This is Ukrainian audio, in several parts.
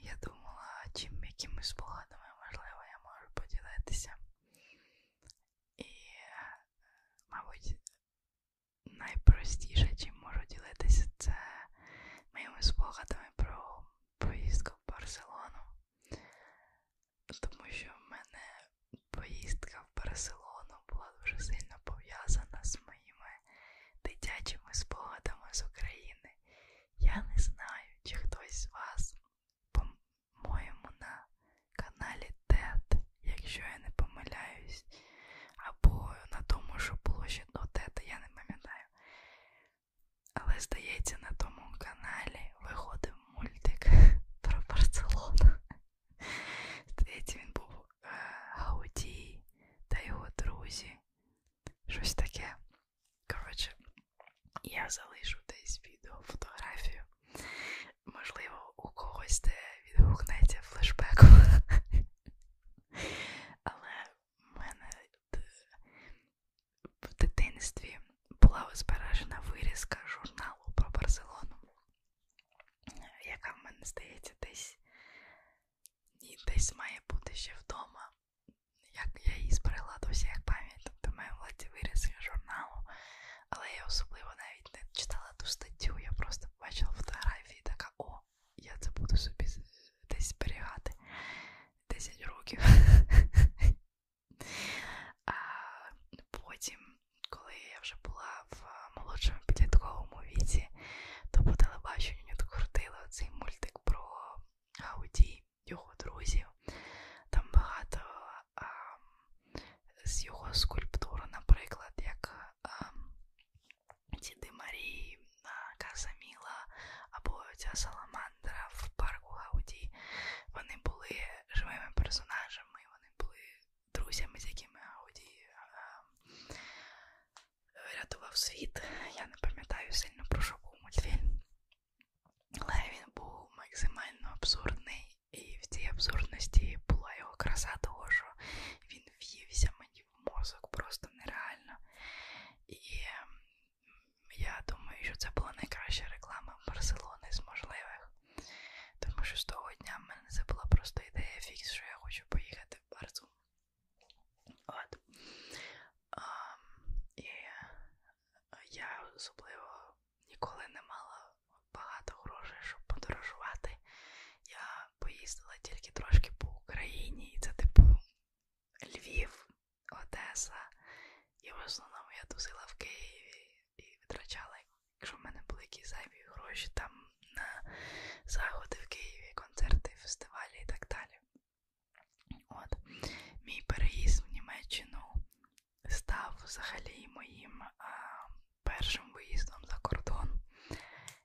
Я думала, чим якимось спогадами, можливо, я можу поділитися. І, мабуть, найпростіше, чим можу ділитися, це моїми спогадами про поїздку в Барселону. Тому що в мене поїздка в Барселону була дуже сильно пов'язана з моїми дитячими спогадами з України. Я не знаю, чи хтось з вас, по-моєму, на каналі Тет, якщо я не помиляюсь, або на тому, що було ще до Тета, я не пам'ятаю. Але, здається, на тому каналі виходив мультик про Барселону. Здається, він був е, Гаудій та його друзі. Щось таке. Коротше, я залишу десь відео фотографію. Можливо, у когось де відгукнеться флешбеку. Але в мене в дитинстві була збережена вирізка журналу про Барселону, яка в мене здається десь і десь має бути ще вдома як я її зберегла до всіх пам'ять, тобто в моєму владі виріс журналу, але я особливо навіть не читала ту статтю, я просто бачила фотографії така, о, я це буду собі десь зберігати 10 років. А потім, коли я вже була в е, молодшому підлітковому віці, то по телебаченню крутили оцей мультик про Гауді його друзів. Там багато а, з його скульптур, наприклад, як Діди Марії, Казаміла або ця Саламандра в парку Гауді. Вони були живими персонажами, вони були друзями, з якими Гауді врятував світ. Я не пам'ятаю сильно про що був мультфільм. Але він був максимально абсурдний, і в цій абсурдності була його краса, того що він в'ївся мені в мозок просто нереально. І ем, я думаю, що це була найкраща реклама Барселони з можливих. Тому що з того дня в мене це була просто ідея фікс, що я хочу поїхати в Барсу. От. А, і я особливо ніколи не мала багато грошей, щоб подорожувати. Я поїздила тільки трошки по Україні, і це типу Львів, Одеса. І в основному я тусила в Києві і витрачала, якщо в мене були якісь зайві гроші там на заходи в Києві, концерти, фестивалі і так далі. От. Мій переїзд в Німеччину став взагалі моїм а, першим виїздом за кордон.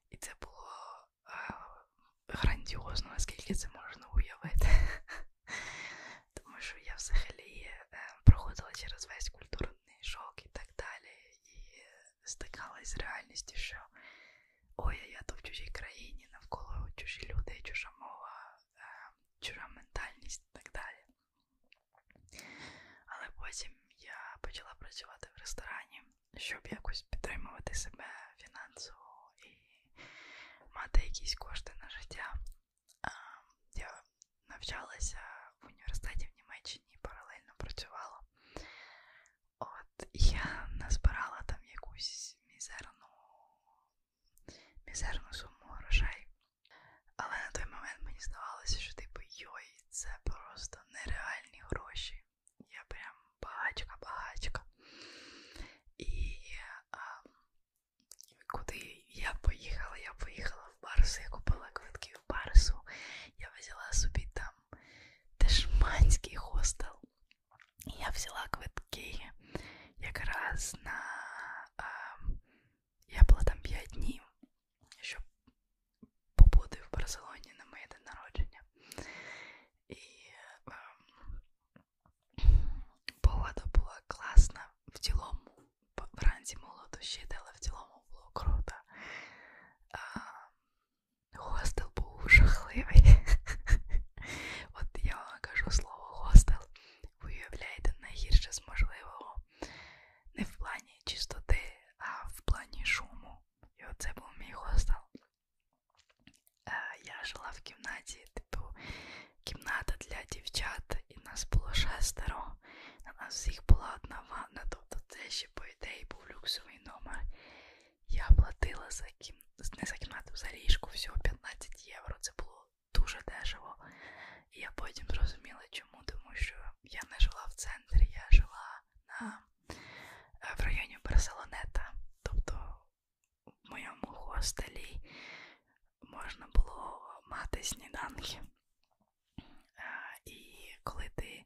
І це було а, грандіозно, наскільки це можна уявити. Тому що я взагалі е, проходила через весь культурний шок і так далі. І стикалась з реальністю, що Ой, я то в чужій країні, навколо чужі люди, чужа мова, е, чужа ментальність і так далі. Але потім я почала працювати в ресторані, щоб якось підтримувати себе фінансово і мати якісь кошти на життя. Е, я навчалася в університеті в Німеччині і паралельно працювала. От я назбирала там якусь мізерну мізерну суму грошей. Але на той момент мені здавалося, що типу йой, це просто нереальні гроші. Я прям багачка-багачка. І а, ем, куди я поїхала? Я поїхала в Барс, я купила квитки в Барсу. Я взяла собі там дешманський хостел. Я взяла квитки якраз на а, я була там 5 днів, щоб побути в Барселоні на моє день народження. І а, ем, погода була класна в цілому. Вранці моло дощити, але в цілому було круто. А, Хостел був жахливий. От я вам кажу слово хостел, виявляєте найгірше з можливого. Не в плані чистоти, а в плані шуму. І оце був мій хостел. Е, я жила в кімнаті, типу кімната для дівчат, і нас було шестеро. На нас всіх була одна ванна, тобто це ще, по ідеї, був люксовий номер. Я платила за кімнату за не за кімнату, за ліжку, всього 15 євро. Це було дуже дешево. І я потім зрозуміла, чому, тому що я не жила в центрі, я жила на, э, в районі Барселонета. Тобто в моєму хостелі можна було мати сніданки. Е, і коли ти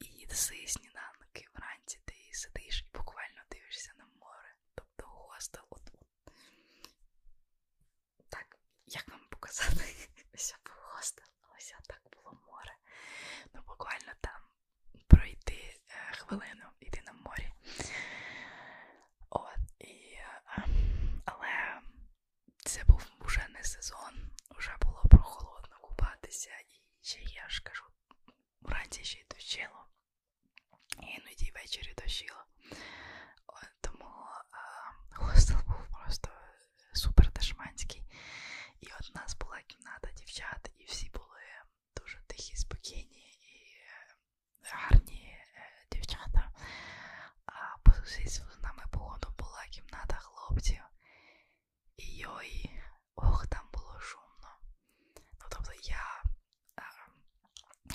їси сніданки вранці, ти сидиш і буквально дивишся на море. Тобто гостя от. Так, як вам показати, ось був гостел, ось так було море. Ну, буквально там пройти е, хвилину, йти на морі. От, і, е, але це був уже не сезон, вже було прохолодно купатися, і ще я ж кажу, вранці ще й дощило. І іноді ввечері дощило. Тому а, хостел був просто супер дешманський. І от у нас була кімната дівчат, і всі були дуже тихі, спокійні і е, гарні е, дівчата. А по сусідству з нами погоду була кімната хлопців. І йой, ох, там було шумно. Ну тобто я Ем,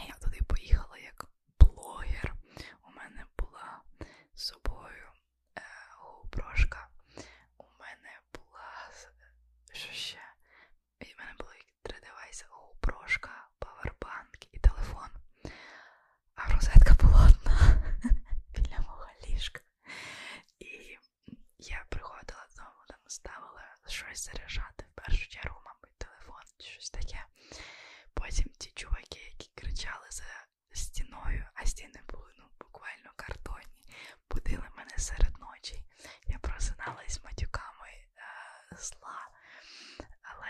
я туди поїхала як блогер. У мене була з собою е, губрошка. У мене була що ще? У мене було три девайси губрошка, павербанк і телефон. А розетка була одна біля мого ліжка. І я приходила додому там ставили щось заряджати, в першу чергу, мабуть, телефон чи щось таке. Потім ті чуваки, які кричали за стіною, а стіни були ну, буквально картонні, будили мене серед ночі. Я просиналась матюками е зла. Але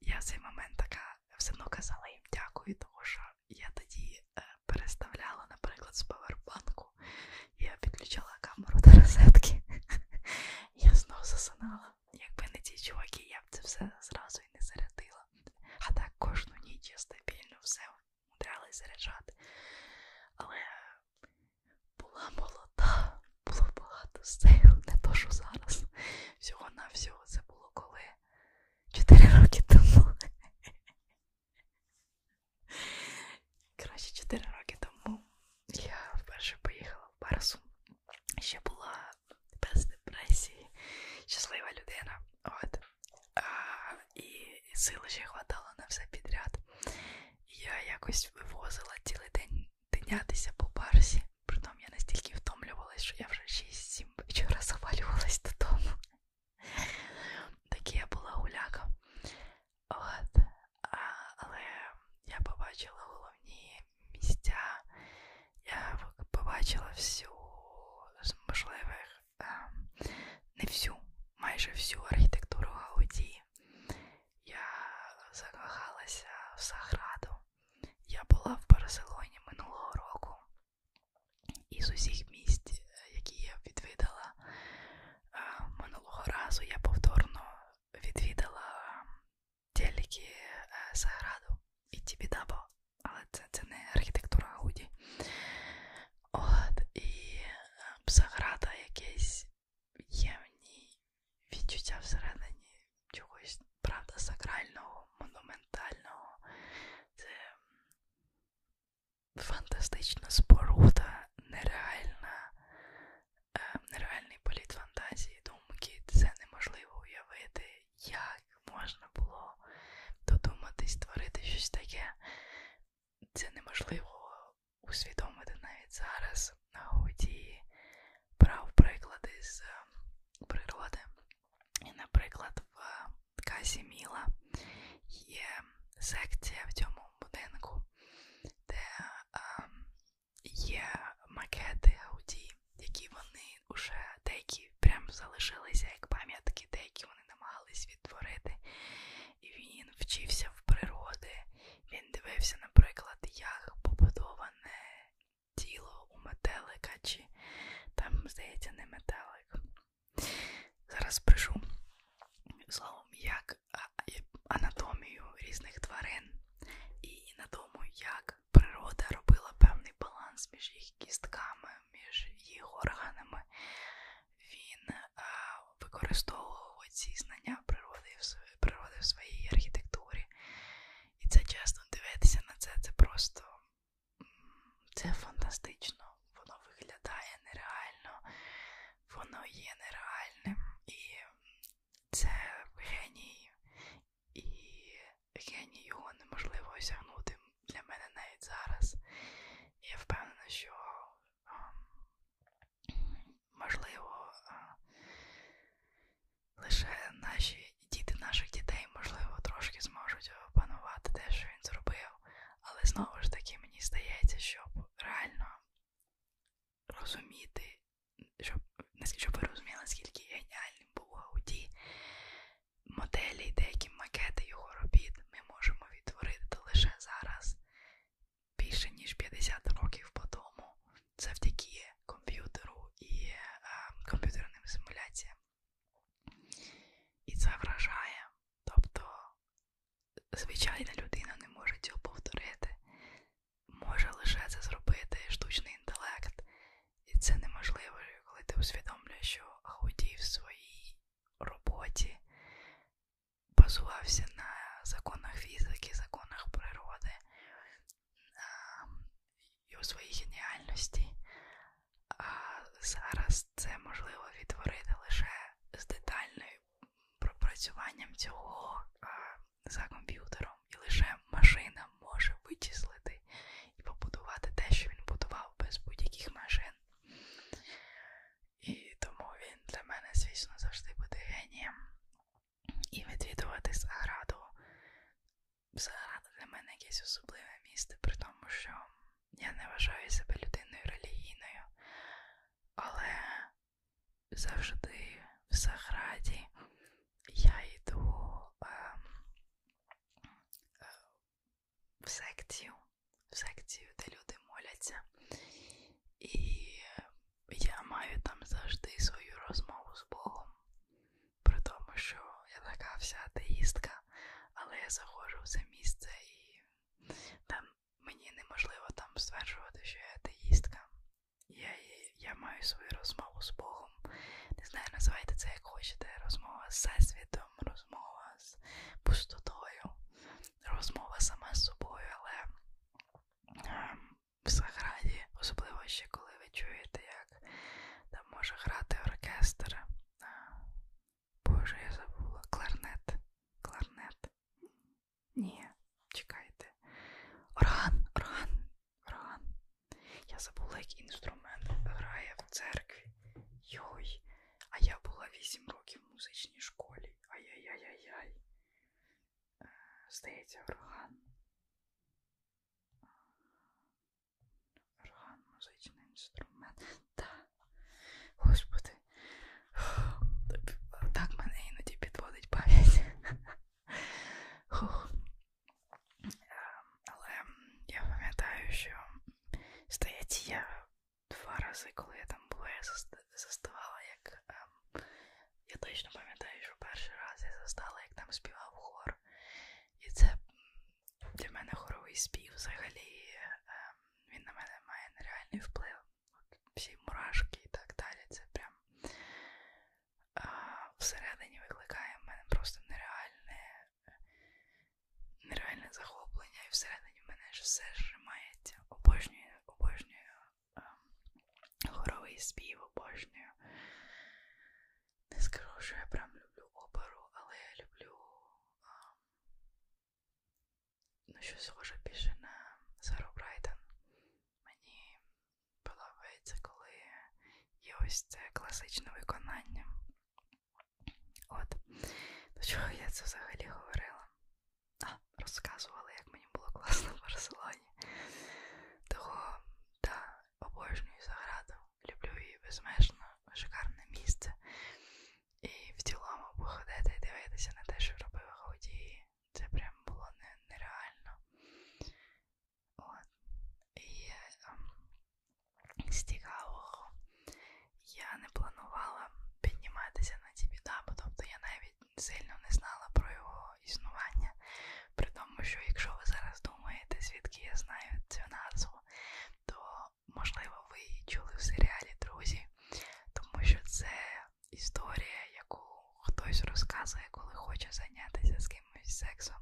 я в цей момент така все одно казала їм дякую, тому що я тоді е переставляла, наприклад, з Павербанку я підключала камеру до розетки. Я знову засинала. Якби не ті чуваки, я б це все зразу і не зарядила. А так кожну ніч я стабільно все умудрялась заряджати. Але була молода, було багато сил, не то, що зараз. Всього-навсього це було коли 4 роки тому. Коротше, 4 роки тому я вперше поїхала в Барсу. Ще була без депресії, щаслива людина. От. А, і сили ще хватало на все підряд. Я якось вивозила цілий день тинятися по барсі. Притом я настільки втомлювалась, що я вже 6-7 вечора завалювалась додому. Такі я була гуляка. От. А, але я побачила головні місця, я побачила всю з можливих, а, не всю, майже всю архітектуру Гауді. Я закохалася в Саграду. Я була в Барселоні минулого року. Із усіх місць, е, які я відвідала е, минулого разу, я повторно відвідала тільки Саграду е, і Тібідабо, але це, це не архітектура Гуді. От, і Саграда ем, якесь є в ній відчуття всередині чогось, правда, сакрального, монументального. Це фантастична споруда, нереальна, нереальний політ фантазії, думки, це неможливо уявити, як можна було додуматись, створити щось таке. Це неможливо усвідомити навіть зараз на годі брав приклади з е, природи. І, наприклад, в е, Казі Міла є секція в цьому будинку, де а, ем, є макети Гауді, які вони вже деякі прям залишилися як пам'ятки, деякі вони намагались відтворити. І він вчився в природи. Він дивився, наприклад, як побудоване тіло у метелика, чи там, здається, не метелик. Зараз пишу словом як як анатомію різних тварин і на тому, як природа робила певний баланс між їх кістками, між їх органами. Він а, е, використовував ці знання природи в, природи в своїй архітектурі. І це чесно дивитися на це, це просто це фантастично. Воно виглядає нереально, воно є нереальним. І це геній, і геній його неможливо осягнути для мене навіть зараз. І я впевнена, що а, ем, можливо а, е, лише наші діти наших дітей, можливо, трошки зможуть опанувати те, що він зробив, але знову ж таки мені здається, щоб реально розуміти, щоб щоб ви розуміли, наскільки геніальним був Гауді, моделі, деякі макети його робіт ми можемо відтворити лише зараз. Більше ніж 50 років по тому, завдяки комп'ютеру і е, комп'ютерним симуляціям. І це вражає. Тобто звичайна людина не може цього повторити може лише це зробити штучний інтелект, і це неможливо, коли ти усвідомлюєш, що Ауді в своїй роботі базувався на законах фізики, законах природи і у своїй геніальності. А зараз це можливо відтворити лише з детальним пропрацюванням цього за комп'ютером, і лише машина може вичислити і побудувати те, що він будував без будь-яких машин. І тому він для мене, звісно, завжди буде генієм. І відвідувати Саграду. Саграда для мене якесь особливе місце, при тому, що я не вважаю себе людиною релігійною, але завжди в Саграді я йду е, е, в секцію, в секцію, де люди моляться, і я маю там завжди свою розмову з Богом, при тому, що я така вся атеїстка, але я заходжу в це місце і там мені неможливо там стверджувати, що я атеїстка. Я я маю свою розмову з Богом. Не знаю, називайте це як хочете. Розмова з Всесвітом, розмова з пустотою, розмова сама з собою, але ем, в Саграді, особливо ще коли ви чуєте, як там може грати оркестр. Боже, я забула. Кларнет. Кларнет. Ні, чекайте. Орган, орган, орган. Я забула, який інструмент грає в церкві. Йой, а я була 8 років в музичній школі. Ай-яй-яй-яй-яй. Е, здається, орган. Орган, музичний інструмент. Так. Господи. Так мене іноді підводить пам'ять. Хух. Але я пам'ятаю, що стоять я два рази, коли я там була, я заставала, як ем, я точно пам'ятаю, що перший раз я застала, як там співав хор. І це для мене хоровий спів взагалі. Ем, він на мене має нереальний вплив. Всі мурашки і так далі. Це прям а, всередині викликає в мене просто нереальне нереальне захоплення, і всередині в мене ж все зжимається. Обожнюю, обожнюю ем, хоровий спів, обожнюю. Не скажу, що я прям люблю оперу, але я люблю а, ем, ну, щось схоже більше на Сару Брайтон. Мені подобається, коли є ось це класичне виконання. От, до чого я це взагалі говорила? А, розказувала, як мені було класно в Барселоні. Того, да, обожнюю заграду, люблю її безмежно, шикарне місце. І в цілому походити і дивитися на те, що робив Гаудії це прям було нереально. От. І ем, з цікавого я не планувала підніматися на ці бо тобто я навіть сильно не знала про його існування. При тому, що якщо ви зараз думаєте, звідки я знаю цю назву, то можливо ви її чули в серіалі Друзі, тому що це історія, яку хтось розказує, коли хоче зайнятися з кимось сексом.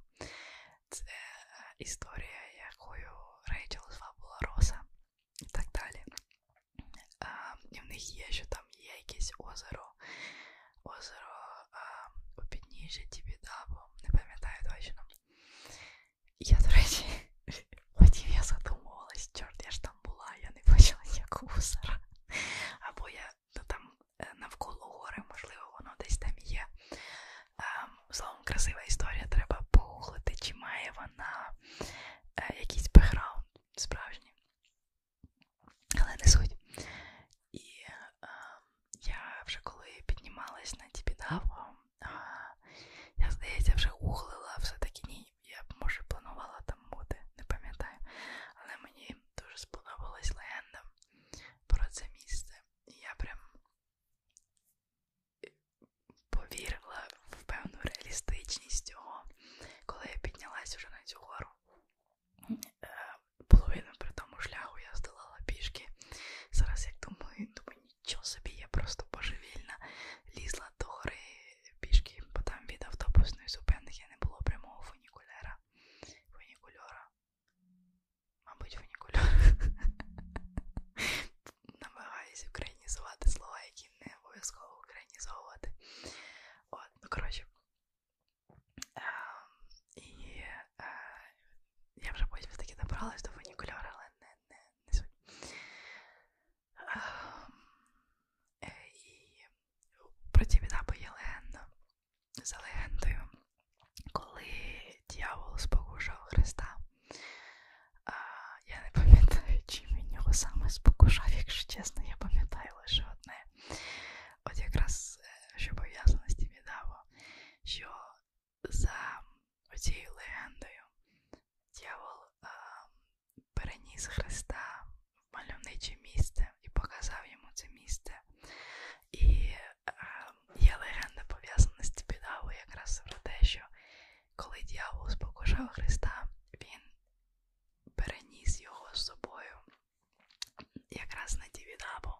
Це е, історія, якою Рейчел звабула Роса і так далі. А, і в них є, що там є якесь озеро, озеро а, у підніжжі Тібідабо, не пам'ятаю точно. Я, до речі, потім я задумувалась, чорт, я ж там була, я не бачила ніякого озера. Або я то там е, навколо гори, можливо, воно десь там є. Е, словом, красива історія, треба погуглити, чи має вона е, якийсь бекграунд справжній. Але не суть. І я вже коли піднімалась на ті підгавку, я, здається, вже углила все-таки ні. Я, може, планувала там бути, не пам'ятаю. Але мені дуже сподобалась легенда про це місце. І я прям е, повірила в певну реалістичність цього, коли я піднялась уже на цю гору. Е, половину при тому шляху я здолала пішки. Зараз, як думаю, думаю, нічого собі, я просто божевільна лізла до гори пішки, бо там від автобусної зупинки не було прямого фунікулера фунікульора. Мабуть, фунікульора. Намагаюсь українізувати слова, які не обов'язково українізовувати. От, ну коротше. Ем, і е, я вже потім таки добралась до фунікульора, але не, не, не суть. Ем, е, і про ті відапи є легенда, за легендою, коли дьявол спокушав Христа. А, я не пам'ятаю, чим він його саме спокушав, якщо чесно, я пам'ятаю лише одне. От якраз е, що пов'язано з тим відаво, що за оцією легендою дьявол а, переніс Христа в мальовниче місце і показав йому це місце. І е, є легенда пов'язана з Ціпідавою якраз про те, що коли дьявол спокушав Христа, він переніс його з собою якраз на Тівідаву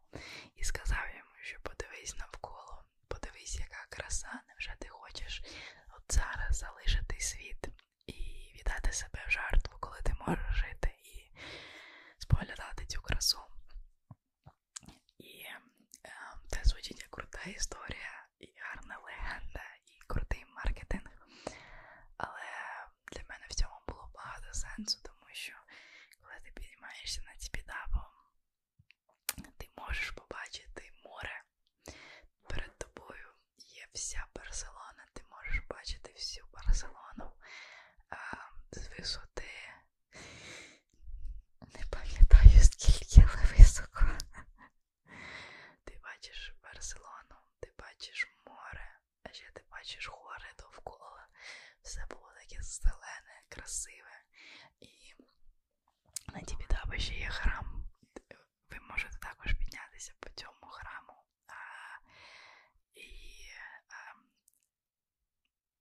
і сказав йому, що подивись навколо, подивись, яка краса, невже ти хочеш от зараз залишити світ і віддати себе в жертву, коли ти можеш жити встати і споглядати цю красу. І е, це звучить як крута історія, і гарна легенда, і крутий маркетинг. Але для мене в цьому було багато сенсу, тому що коли ти піднімаєшся над спідапом, ти можеш побачити море. Перед тобою є вся Барселона. Барселона, ти можеш бачити всю Барселону а, з висоти. Не пам'ятаю, скільки але високо. Ти бачиш Барселону, ти бачиш море, а ще ти бачиш гори довкола. Все було таке зелене, красиве. І на Тібідаба ще є храм. Ви можете також піднятися по цьому храму і ем,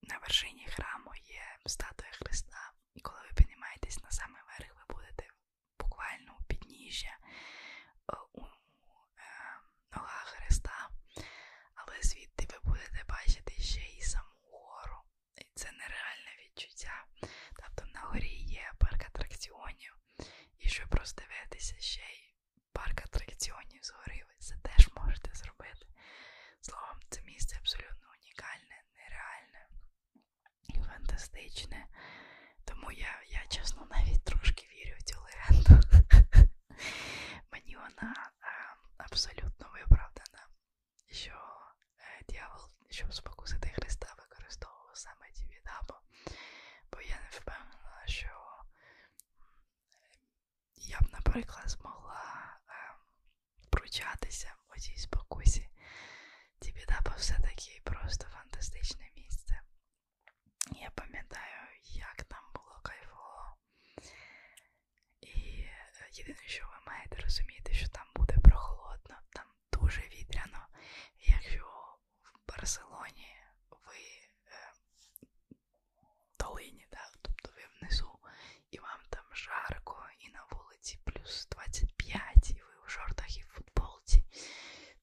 на вершині храму є статуя Христа. І коли ви піднімаєтесь на самий верх, ви будете буквально у підніжжя е, у ем, ногах Христа, але звідти ви будете бачити ще і саму гору. І це нереальне відчуття. Тобто на горі є парк атракціонів, і щоб роздивитися ще й парк атракціонів згорив, це теж можете зробити. Словом, це місце абсолютно унікальне, нереальне, фантастичне. Тому я, я чесно, навіть трошки вірю в цю легенду. Мені вона е, абсолютно виправдана, що е, дьявол, щоб спокусити Христа, використовував саме ті відаби, бо я не впевнена, що я б, наприклад, змогла е, пручатися у цій спокусі. Тібідапа все-таки просто фантастичне місце. Я пам'ятаю, як там було кайфово. І е, єдине, що ви маєте розуміти, що там буде прохолодно, там дуже вітряно. Якщо в Барселоні ви е, долині, да? тобто ви внизу, і вам там жарко, і на вулиці плюс 25, і ви в жортах і в футболці.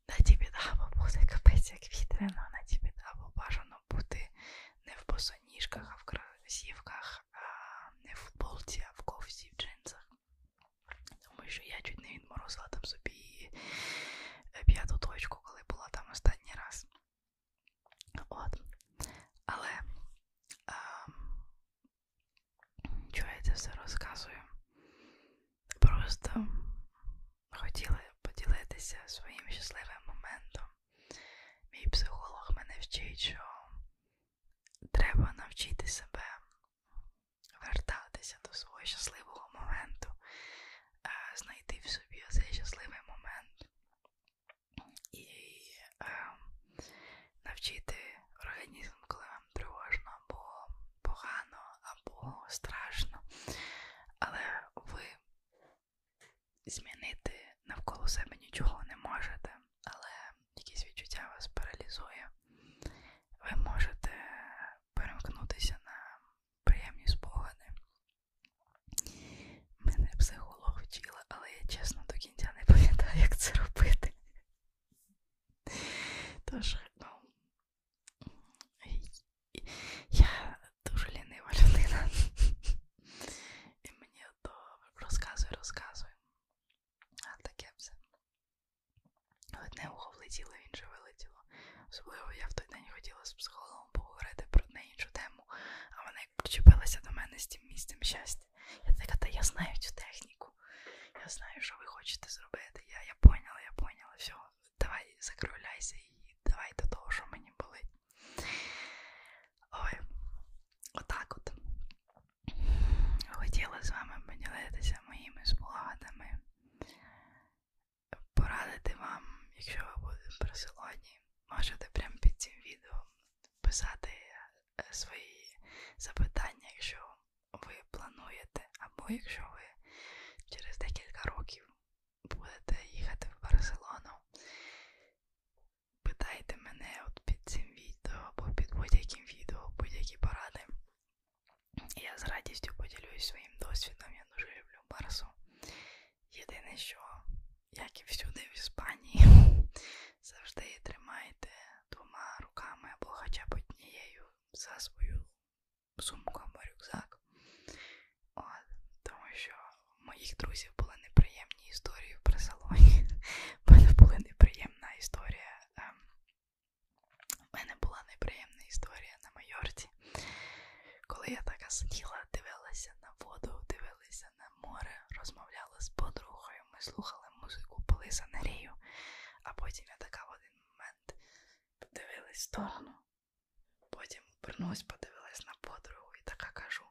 На тобі даба буде капець, як вітряно, ну, на тобі даба бажано бути не в босоніжках, а в красівках, а не в футболці, а в ковці, в джинсах. Тому що я чуть не відморозила там собі е, п'яту точку, коли була там останній раз. От. Але а, ем, чого я це все розказую? Просто хотіла поділитися своїм щасливим моментом. Мій психолог мене вчить, що треба навчити себе вертатися до свого щасливого моменту знайти в собі цей щасливий момент і навчити організм, коли вам тривожно або погано, або страшно. Але ви змінити навколо себе нічого не можете, але якісь відчуття вас паралізує. Ви можете перемкнутися на приємні спогади, Мене психолог вчила, але я чесно до кінця не пам'ятаю, як це робити. Тож, ну, я дуже лінива людина. І мені то розказує, розказує. А таке все. Одне ухо влетіло, інше вилетіло впливу. Особливо я в той день хотіла з психологом поговорити про одне іншу тему, а вона як причепилася до мене з тим місцем щастя. Я така, та я знаю цю техніку. Я знаю, що ви хочете зробити. Я я поняла, я поняла. Все, давай закругляйся і давай до того, що мені болить. Ой, отак от. Хотіла з вами поділитися моїми спогадами порадити вам, якщо ви будете присилоні, можете прямо під цим відео писати е, свої запитання, якщо ви плануєте, або якщо ви через декілька років будете їхати в Барселону. Питайте мене от під цим відео або під будь-яким відео, будь-які поради. Я з радістю поділюсь своїм досвідом, я дуже люблю Барсу. Єдине, що, як і всюди в Іспанії, завжди тримайте двома руками або хоча б однією за свою сумку або рюкзак. От, Тому що у моїх друзів були неприємні історії при салоні. У мене була неприємна історія. Ем, у мене була неприємна історія на майорці вулиці. Коли я така сиділа, дивилася на воду, дивилася на море, розмовляла з подругою, ми слухали музику, пили санарію, а потім я така в один момент подивилась в сторону, потім обернулась, подивилась на подругу і така кажу: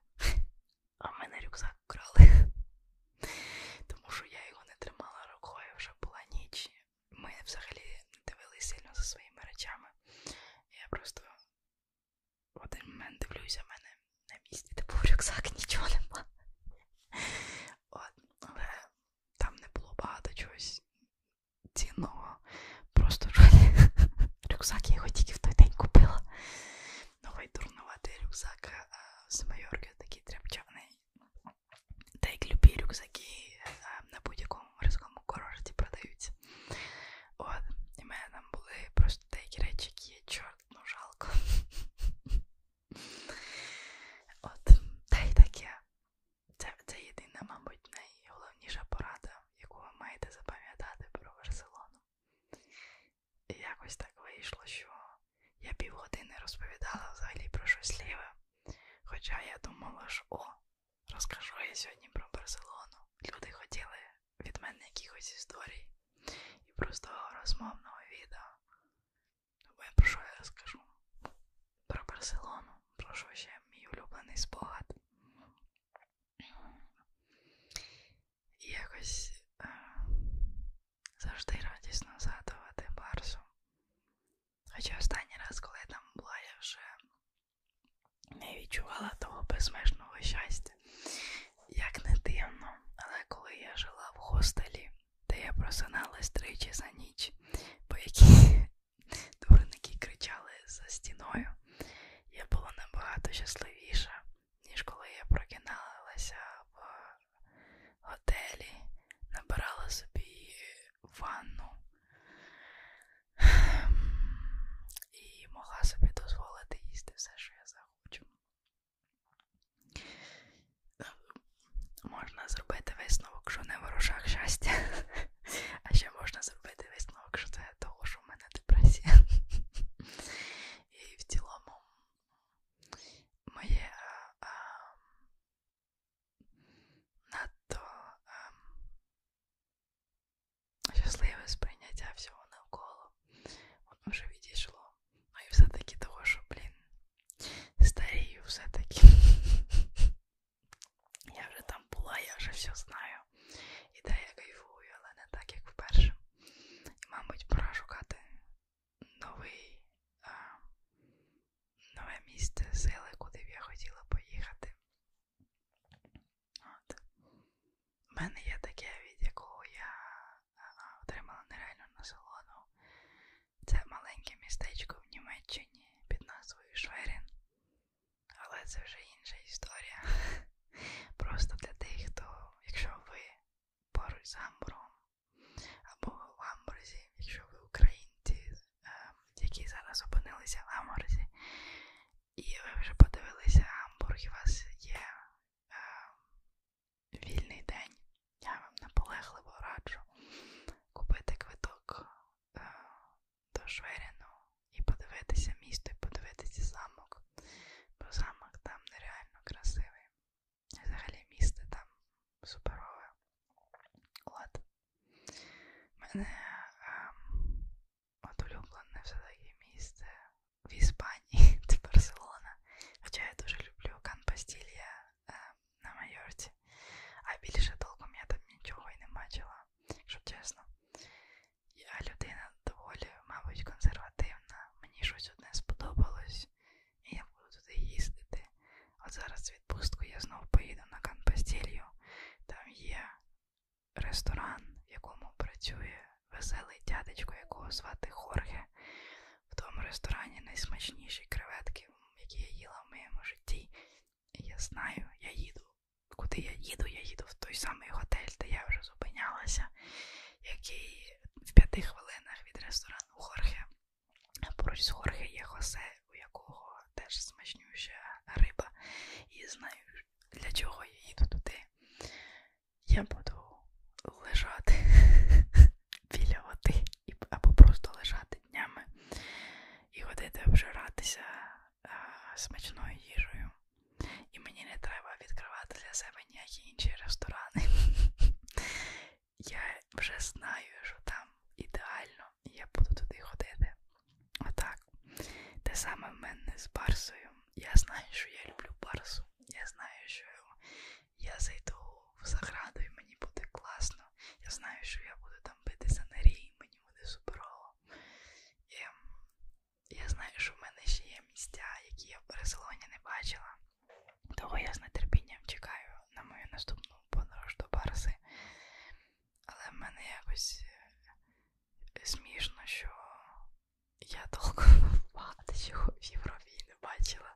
а в мене рюкзак вкрали. Тому що я його не тримала рукою, вже була ніч. Ми взагалі не дивилися сильно за своїми речами. Я просто в один момент дивлюся, в мене на місці, де типу, був рюкзак, нічого нема. От, але там не було багато чогось цінного. Просто рюкзак я його тільки в той день купила. Новий дурнуватий рюкзак е, з Майорки, такий тряпчаний. Та як любі рюкзаки е, на будь-якому морському курорті продаються. От, і в мене там були просто деякі речі, які є чорт, ну жалко. От, та й таке. Це, це єдина, мабуть, найголовніша порада, яку ви маєте запам'ятати про Барселону. І якось так вийшло, що я півгодини розповідала взагалі про щось ліве. Хоча я думала, що о, Розкажу я сьогодні про Барселону. Люди хотіли від мене якихось історій і простого розмовного відео. Тому я про що я розкажу? Про Барселону, про що ще мій улюблений спогад. І якось е, завжди радісно згадувати Барсу. Хоча останній раз, коли я там була, я вже не відчувала того безмежного щастя. Як не дивно, але коли я жила в хостелі, де я просиналась тричі за ніч, по якій дурники кричали за стіною, я була набагато щасливіша, ніж коли я прокиналася в готелі, набирала собі ванну, і могла собі дозволити їсти все, що я захочу. Можна зробити висновок, що не ворожах щастя, а ще можна зробити висновок, що це того, що в мене депресія. І в цілому моє а, а, надто а, ем, щасливе сприйняття всього навколо. Воно вже відійшло. Ну і все-таки того, що, блін, старію все-таки. Я вже там була, я вже все знаю. І де я кайфую, але не так, як вперше. І, мабуть, пора шукати новий, а, нове місце сили, куди б я хотіла поїхати. От. У мене є таке, від якого я отримала нереальну насолоду. Це маленьке містечко в Німеччині під назвою Шверін. Але це вже інша історія. Просто для тих, хто, якщо ви поруч з Гамбургом або в Гамбурзі, якщо ви українці, е, які зараз опинилися в Гамбурзі, і ви вже подивилися гамбург, і у вас є е, вільний день. Я вам наполегливо раджу купити квиток е, до Шверіну і подивитися місто, і подивитися замок. Бо замок там нереально красивий. І взагалі місто там суперове. От. Мене е, от улюблене все-таки місце в Іспанії, це Барселона. Хоча я дуже люблю Кан Бастілія на Майорці, а більше толком я там нічого і не бачила, щоб чесно. Я людина доволі, мабуть, консервативна, мені щось одне сподобалось, і я буду туди їздити. От зараз відпустку я знов поїду на Кан Бастілію, там є ресторан, в якому працює веселий дядечко, якого звати Хорге. В тому ресторані найсмачніші креветки, які я їла в моєму житті. І я знаю, я їду. Куди я їду? Я їду в той самий готель, де я вже зупинялася, який в п'яти хвилинах від ресторану Хорге. Поруч з Хорге є Хосе, у якого теж смачнюща риба. І знаю, для чого я їду туди. Я буду лежати біля води або просто лежати днями і ходити обжиратися а, смачною їжею. І мені не треба відкривати для себе ніякі інші ресторани. я вже знаю, що там ідеально, і я буду туди ходити. Отак. Те саме в мене з Барсою. Я знаю, що я люблю Барсу. Я знаю, що я зайду в заграду і мені буде класно. Я знаю, що я буду там битися на рій, мені буде суперово. І ем, я знаю, що в мене ще є місця, які я в Барселоні не бачила. Того я з нетерпінням чекаю на мою наступну подорож до Барси. Але в мене якось е, смішно, що я довго багато чого в Європі не бачила.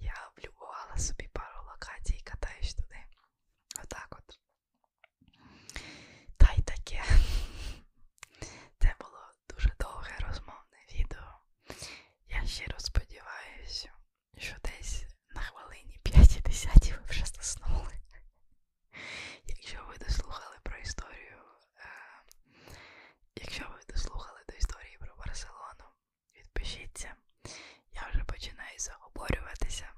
Я облюбувала собі пару локацій і катаюсь туди. Отак от. Та й таке. Це було дуже довге розмовне відео. Я щиро сподіваюся, що десь на хвилині 5-10 ви вже заснули. Якщо ви дослухали про історію, е, якщо ви дослухали до історії про Барселону, відпишіться. Я вже починаю заговорюватися.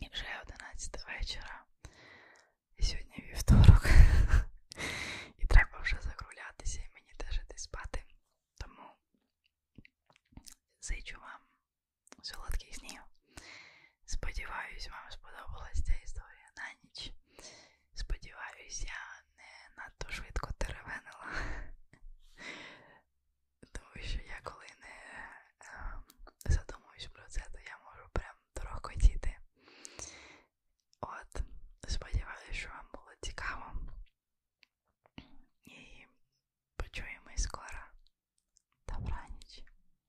І вже 11 вечора. І сьогодні вівторок. І треба вже закруглятися і мені теж іти спати. Тому зичу вам солодких снів. Сподіваюсь, вам сподобалась ця історія на ніч. Сподіваюсь, я не надто швидко теревенила. Тому що я коли не ем, задумуюсь про це, то я можу прям дорогкотіти. От, сподіваюсь, що вам було цікаво. І почуємось скоро. Добраніч.